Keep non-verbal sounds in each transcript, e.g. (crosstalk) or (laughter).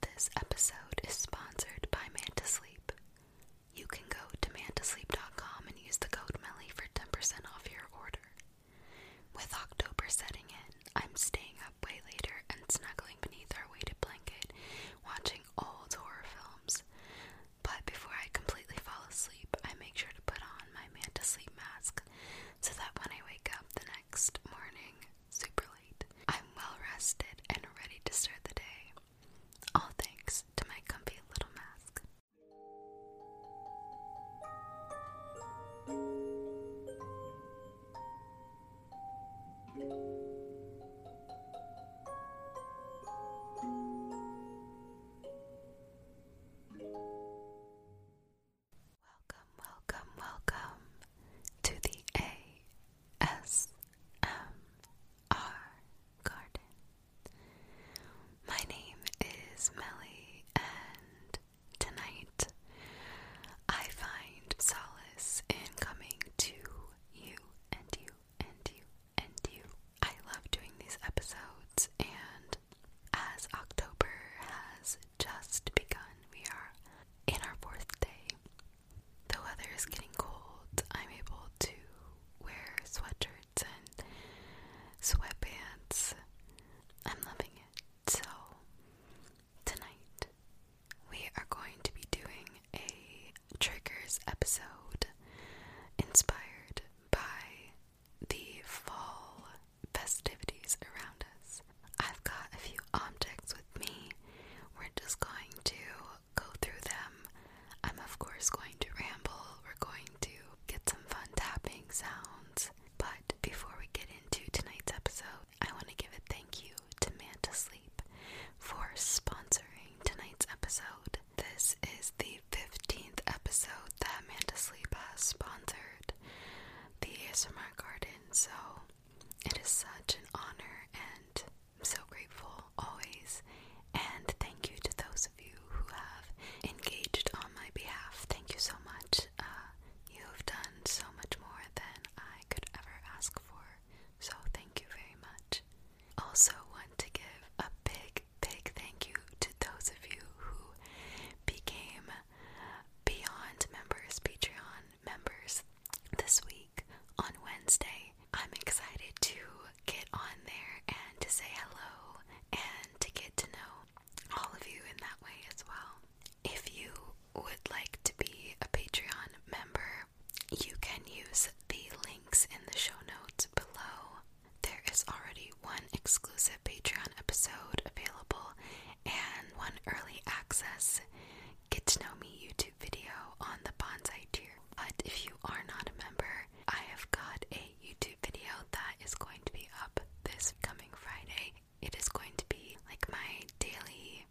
This episode is sponsored by Mantasleep. You can go to mantasleep.com and use the code MELLY for 10% off your order. With October setting in, I'm staying up way later and snuggling beneath our weighted blanket, watching old horror films. But before I completely fall asleep, I make sure to put on my Mantasleep mask so that when I wake up the next morning, super late. I'm well rested and ready to start the day. All thanks to my comfy little mask. Welcome, welcome, welcome to the SMR Garden. My name is Melly, and tonight I find solace in coming to you and you and you and you. I love doing these episodes, and as October has just begun, we are in our fourth day the weather is getting cold, I'm able to wear sweatshirts and sweatpants. I'm loving it. So, tonight we are going to be doing a triggers episode inspired by the fall festivities around us. I've got a few objects with me. We're just going to go through them. I'm, of course, going to ramble. We're going to get some fun tapping sounds. But before we get into tonight's episode, I want to give a thank you to Manta for sponsoring tonight's episode. This is the 15th episode that Manta has sponsored the ASMR Garden, so it is such an honor and I'm so grateful always, and thank you to those of you who have engaged on my behalf. Thank you so much. Uh, you have done so much more than I could ever ask for, so thank you very much. Also, want to give a big, big thank you to those of you who became Beyond Members Patreon members this week on Wednesday. I'm excited to get on there and to say hello and to get to know all of you in that way as well. If you would like to be a Patreon member, you can use the links in the show notes below. There is already one exclusive Patreon episode available and one early access get to know me YouTube video on the bonsai tier. But if you are not a member, I have got a YouTube video that is going to be up this coming Friday. It is going to be like my daily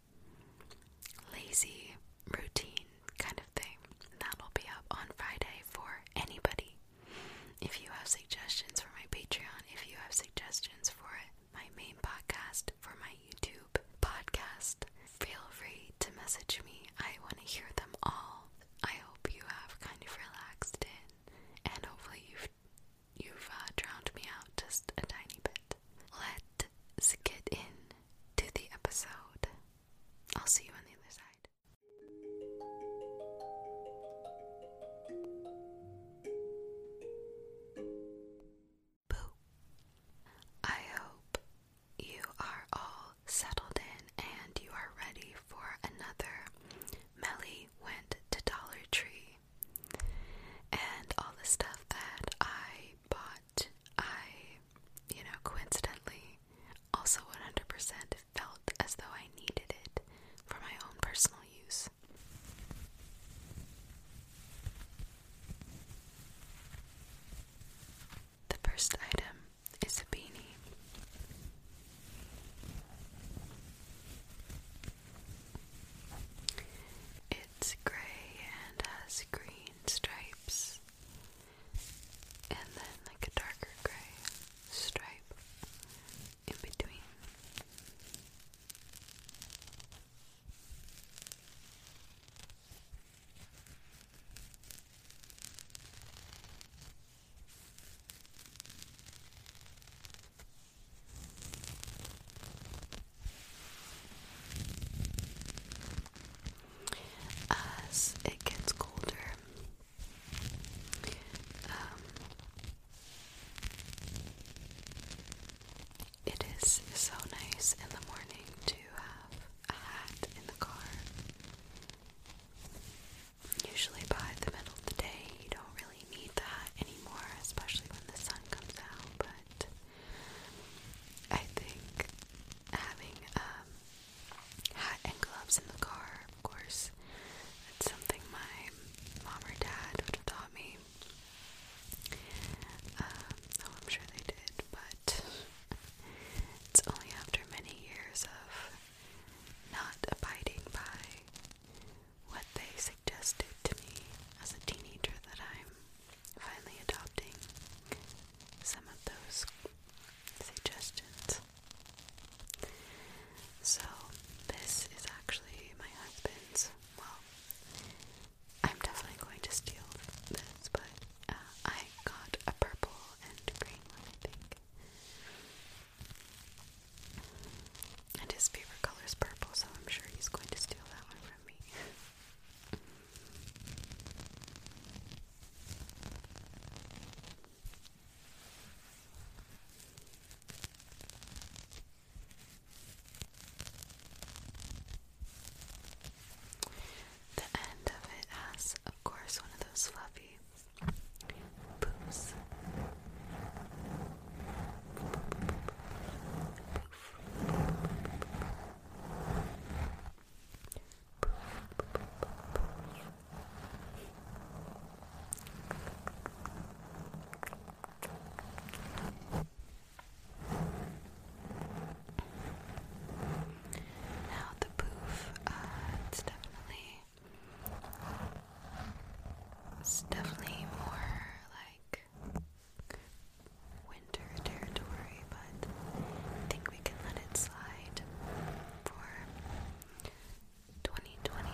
lazy routine kind of thing. That'll be up on Friday for anybody. If you have suggestions for my Patreon, if you have suggestions for my main podcast, for my YouTube podcast. Feel free to message me. I want to hear them all. I hope you have kind of relaxed in, and hopefully you've you've uh, drowned me out just a tiny bit. Let's get in to the episode. I'll see you on the other side. Boo. I hope you are all settled in and you are ready for another. Melly went to Dollar Tree, and all the stuff that I bought, I, you know, coincidentally, also 100% felt as though I needed it for my own personal use. The first item is a beanie. It's grey and has green stripes, and then like a darker grey stripe in between. As it gets colder, um, it is so nice in the morning to have a hat in the car. Usually by the middle of the day, you don't really need the hat anymore, especially when the sun comes out, but I think having a um, hat and gloves in the car, of course, that's something my mom or dad would have taught me. Um, oh, I'm sure they did, but it's only after many years of not abiding by what they suggested to me as a teenager that I'm finally adopting some of those suggestions. So, this is actually my husband's, well, I'm definitely going to steal this, but uh, I got a purple and green one, I think. And his favorite color is purple, so I'm sure he's going to steal that one from me. The end of it has, of course, one of those fluffy poofs. Now the poof, uh, it's definitely, it's definitely more like winter territory, but I think we can let it slide for 2020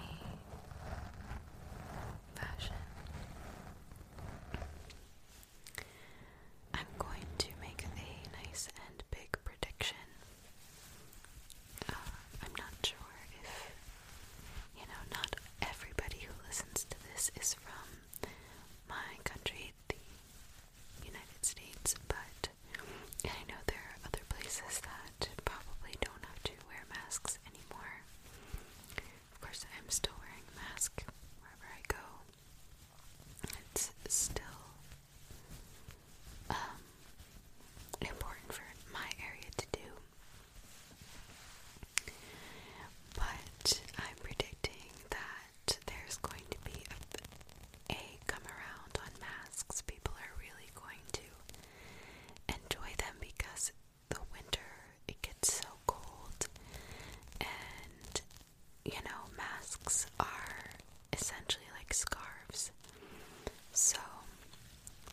fashion. I'm going to make a nice and big prediction. Uh, I'm not sure if, you know, not everybody who listens to this is from my country, the United States, but I know there are other places that probably don't have to wear masks anymore. Of course, I'm still wearing mask wherever I go. It's still um, important for my area to do. But I'm predicting that there's going to be a come around on masks. People are really going to enjoy them because the winter it gets so cold and you know, masks are essentially like scarves. So,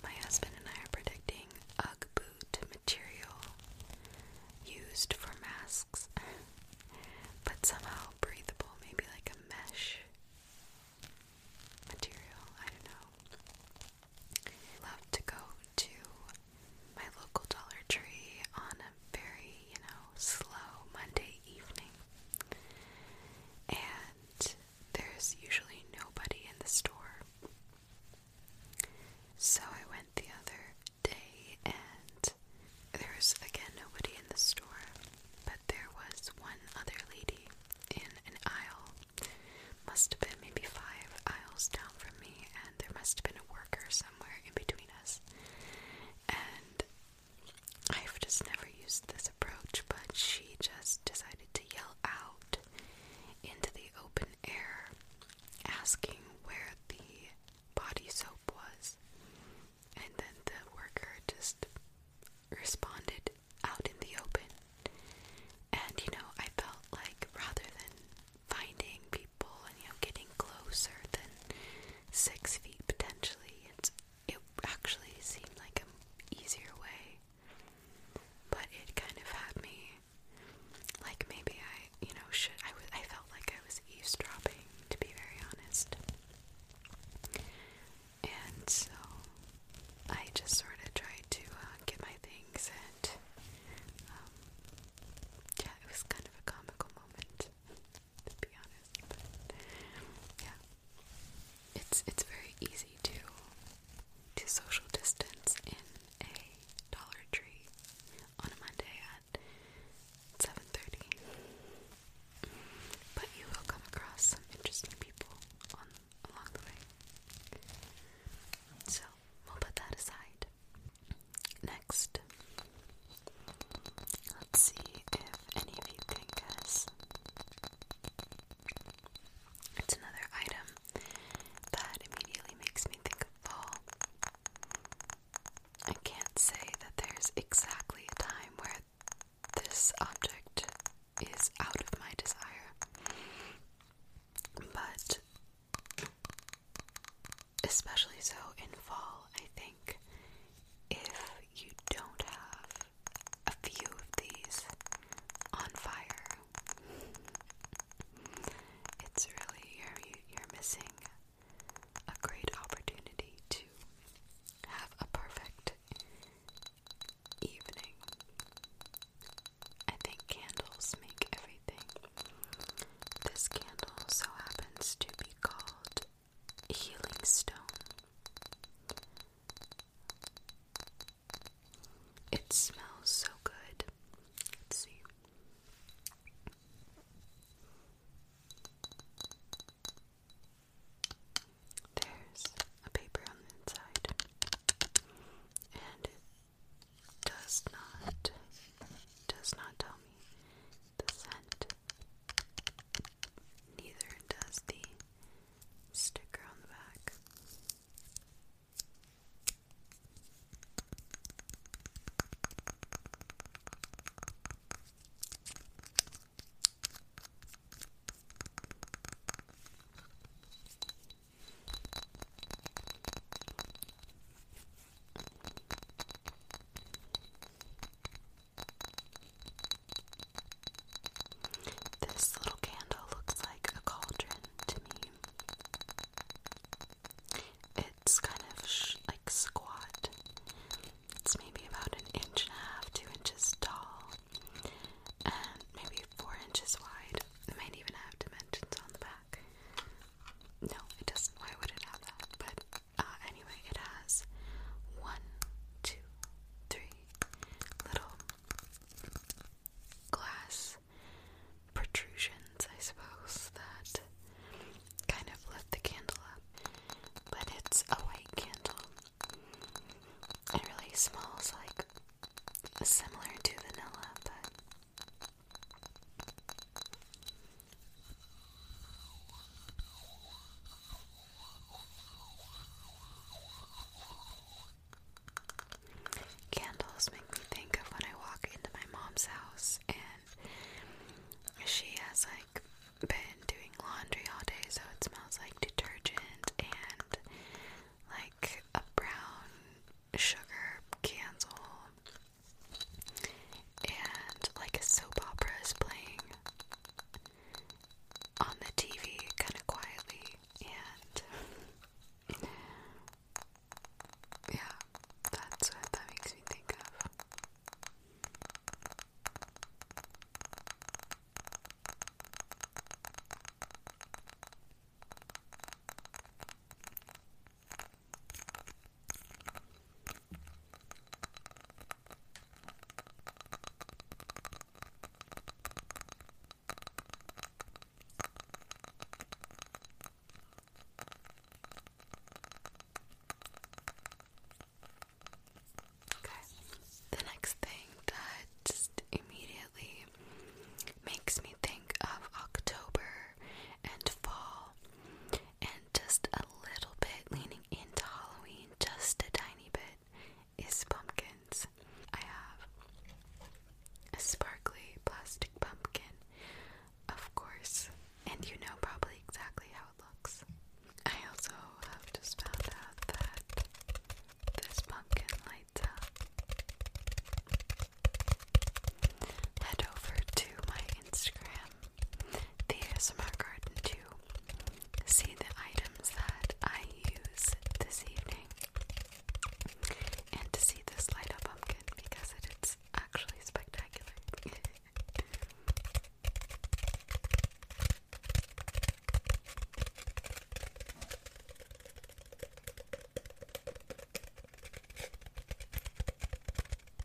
my husband and I are predicting Ugg boot material used for masks, (laughs) but somehow breathable, maybe like a mesh material. I don't know. love to go to my local Dollar Tree on very, you know, slow Monday evening. And there's usually nobody in the store. So I went the other day and there's again nobody in the store, but there was one other lady in an aisle. Must have been maybe five aisles down from me, and there must have been a worker somewhere in between us and I've just never used this approach, but she just decided to yell out into the open air, asking where the body soap was. And then the worker just responded out in the open. And you know, I felt like rather than finding people and you know getting closer than six feet potentially. it actually seemed like an easier way, but it kind of had me like maybe I you know should I I felt like I was eavesdropping to be very honest, and so I just sort of tried to uh, get my things and um, yeah, it was kind of a comical moment to be honest. yeah, it's it's very easy to to social distance in a Dollar Tree on a Monday at seven thirty. But you will come across some interesting people on along the way. So we'll put that aside next. Let's see if any of you can guess. It's another item that immediately makes me think of fall. I can't say that there's exactly a time where this object is out of my desire, but especially so in fall, I think, if you don't have a few of these on fire, it's really, you're, you're missing a great opportunity to have a perfect evening. I think candles make everything. This candle so happens to be called healing stone. It smells so good. Let's see. There's a paper on the inside, and it does not does not tell me Neither does the sticker on the back. This little candle looks like a cauldron to me. It's kind of sh like squat. It's maybe about an inch and a half, two inches tall, and maybe four inches wide. It might even have dimensions on the back. No, it doesn't. Why would it have that? Ah, anyway, it has one, two, three little glass protrusions, I suppose, that kind of lift the candle up. But it's a white candle. It really smells like similar to vanilla, but Candles make me think of when I walk into my mom's house and she has like been doing laundry all day so it smells like detergent and like a brown sugar candle and like a soap opera is playing on the TV kind of quietly and (laughs) yeah, that's what that makes me think of. Okay, the next thing that just immediately makes me think of October and fall and just a little bit leaning into Halloween, just a tiny bit, is pumpkins. I have a sparkly plastic pumpkin, of course, and you know probably exactly how it looks. I also have just found out that this pumpkin lights up. Head over to my Instagram, the 2, see the items that I use this evening and to see this light up pumpkin because it's actually spectacular.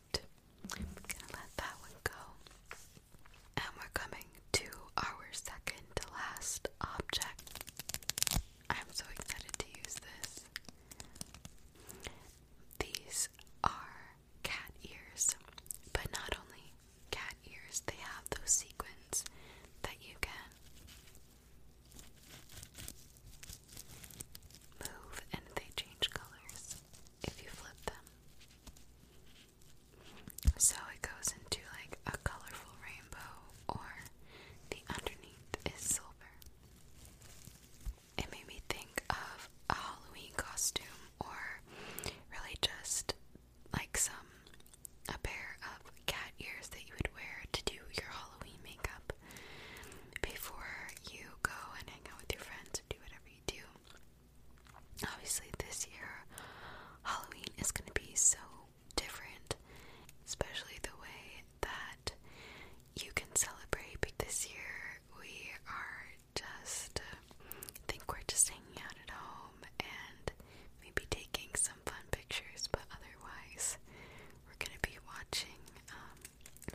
I'm gonna let that one go. And we're coming to our second to last object. I'm so excited to use this. These are cat ears, but not only cat ears, they have those sequins that you can move and they change colors if you flip them. So it goes into like a colorful rainbow, or the underneath is silver. It made me think of a Halloween costume, or really just like some a pair of cat ears that you would wear to do your Halloween makeup before you go and hang out with your friends and do whatever you do. Obviously, this year, Halloween is going to be so different, especially the way that you can celebrate. Because this year, we are just, think we're just hanging out at home and maybe taking some fun pictures, but otherwise, we're going to be watching, um,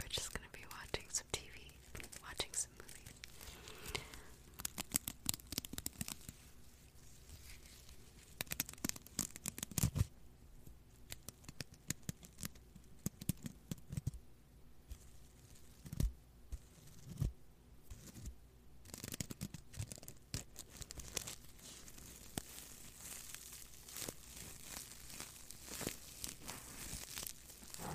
we're just going to be watching TV, watching some movies.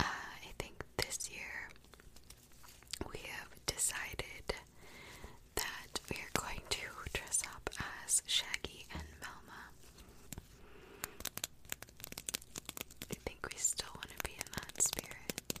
Uh, I think this year we have decided that we are going to dress up as Shaggy and Melma. I think we still want to be in that spirit.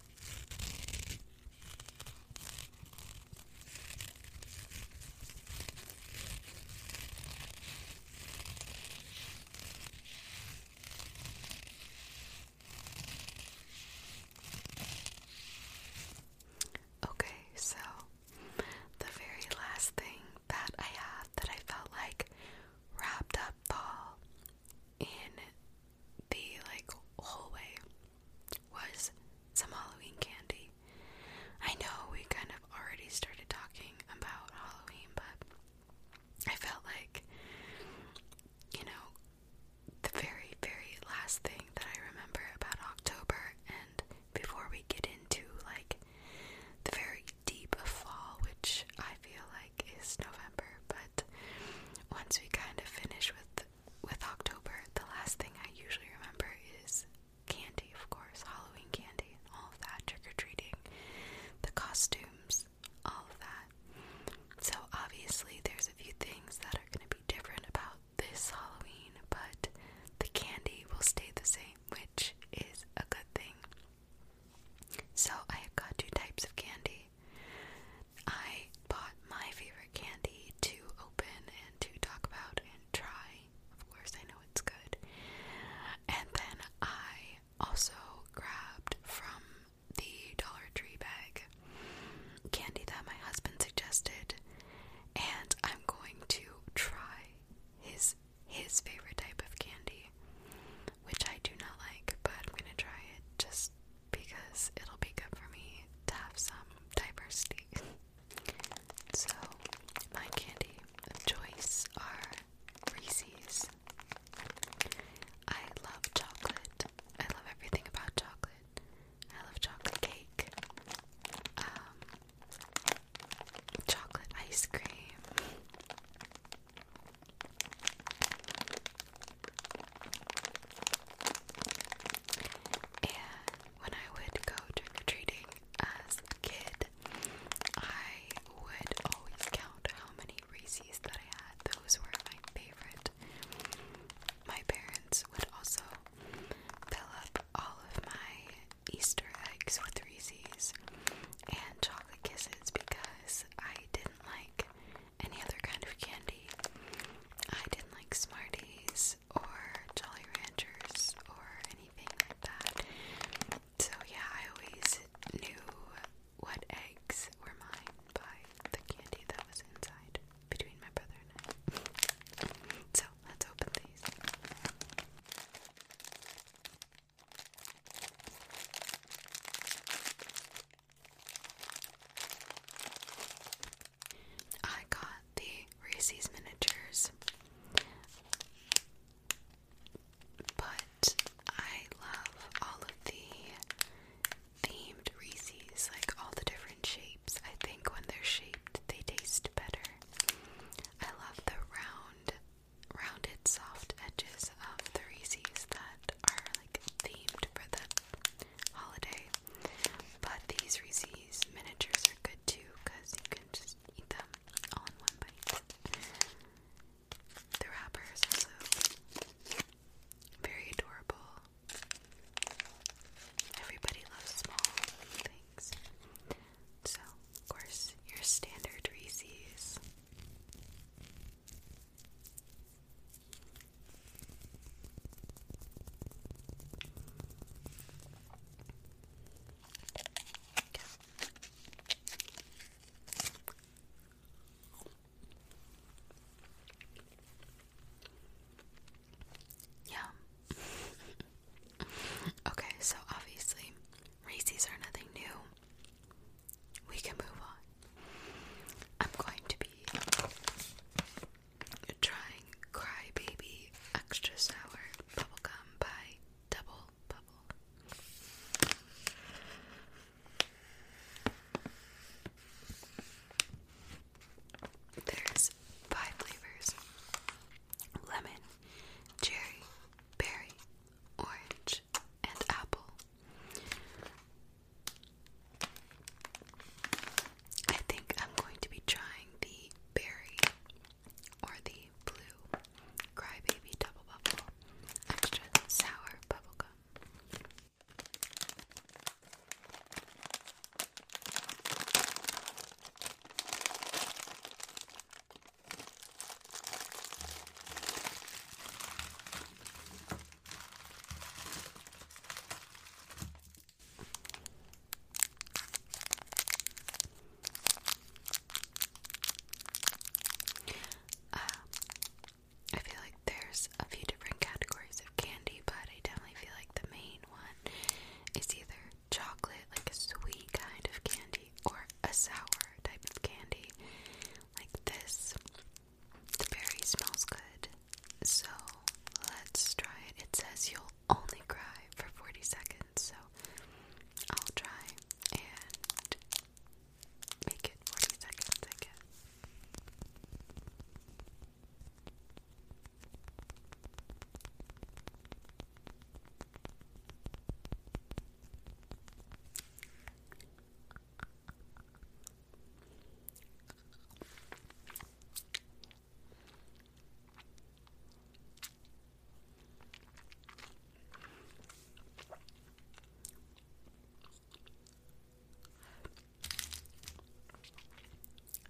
Okay, so the very last thing that I had that I felt like wrapped up fall in the like hallway was some Halloween candy. I know we kind of already started talking about Halloween, but I felt like you know the very very last thing that I remember about October and before we get into like the very deep of fall, which I feel like is November, but once we kind of finish with with October, the last thing I usually remember is candy, of course, Halloween candy, all of that, trick or treating, the costumes, all of that. So obviously, there's a few things that are going to be different about this Halloween, but the candy will stay the same, which is a good thing. So, I have got two types of candy. I bought my favorite candy to open and to talk about and try. Of course, I know it's good. And then I also grabbed from the Dollar Tree bag candy that my husband suggested, and I'm going to try his his favorite type of candy, which I do not like, but I'm gonna try it just because it'll be good for me to have some diversity. (laughs) so, my candy choice are Reese's. I love chocolate. I love everything about chocolate. I love chocolate cake. Um chocolate ice cream. And when I would go trick or treating as a kid, I would always count how many Reese's that I had. Those were my favorite. My parents would also fill up all of my Easter eggs with Reese's and chocolate kisses because I didn't like any other kind of candy. I didn't like Smarties or Jolly Ranchers or anything like that. So, yeah, I always knew what eggs were mine by the candy that was inside between my brother and I. So, let's open these. I got the Reese's miniatures, but I love all of the themed Reese's, like all the different shapes. I think when they're shaped, they taste better. I love the round, rounded, soft edges of the Reese's that are like themed for the holiday. But these Reese's miniatures are good too because you can just eat them all in one bite. The wrapper also very adorable. Everybody loves small things. So, of course, your standard Reese's. Yeah. (laughs) okay, so obviously races are nothing new we can move on. I'm going to be trying Cry Extra Sour Bubblegum by Double Bubble. There's five flavors lemon, cherry, berry, orange, and apple. I think I'm going to be trying the berry or the blue crybaby double bubble extra sour bubble bubblegum. Um, I feel like there's a few different categories of candy, but I definitely feel like the main one is either chocolate, like a sweet kind of candy, or a sour type of candy, like this. The berry smells good, so let's try it. It says you'll only cry for 40 seconds, so I'll try and make it 40 seconds, I guess.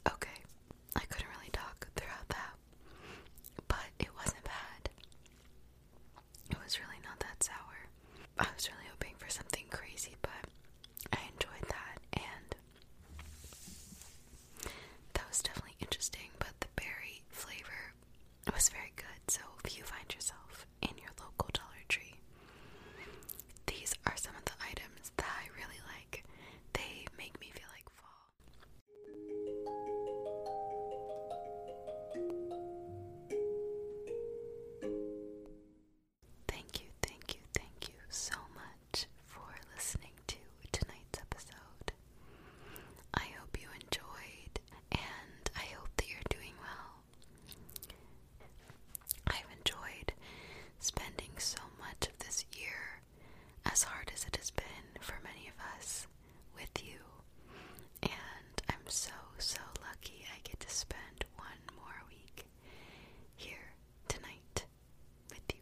Okay, I couldn't really talk throughout that, but it wasn't bad. It was really not that sour. I was really hoping for something crazy, but I enjoyed that, and that was definitely interesting. But the berry flavor was very good. So if you find yourself in your local Dollar Tree, these are some of the items that I really like. They make me feel like fall. Thank you, thank you, thank you so much for listening to tonight's episode. I hope you enjoyed, and I hope that you're doing well. I've enjoyed spending so much of this year, as hard as it has been for many of us, with you, and I'm so, so lucky I get to spend one more week here tonight with you.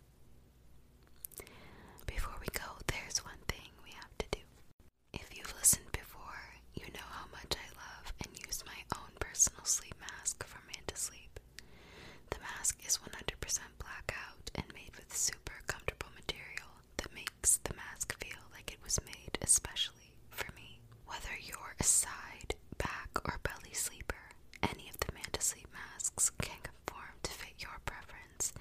Before we go, there's one thing we have to do. If you've listened before, you know how much I love and use my own personal sleep mask from Manta Sleep. The mask is 100% blackout and made with super comfortable material that makes the mask feel like it was made especially for me. Whether you're a side, back, or belly sleeper, any of the Manta Sleep masks can conform to fit your preference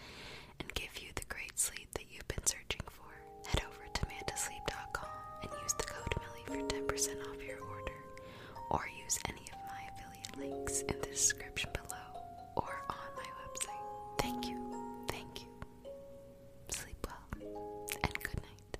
and give you the great sleep that you've been searching for. Head over to mantasleep.com and use the code Millie for 10% off your order, or use any of my affiliate links in the description below or on my website. Thank you, thank you. Sleep well, and good night.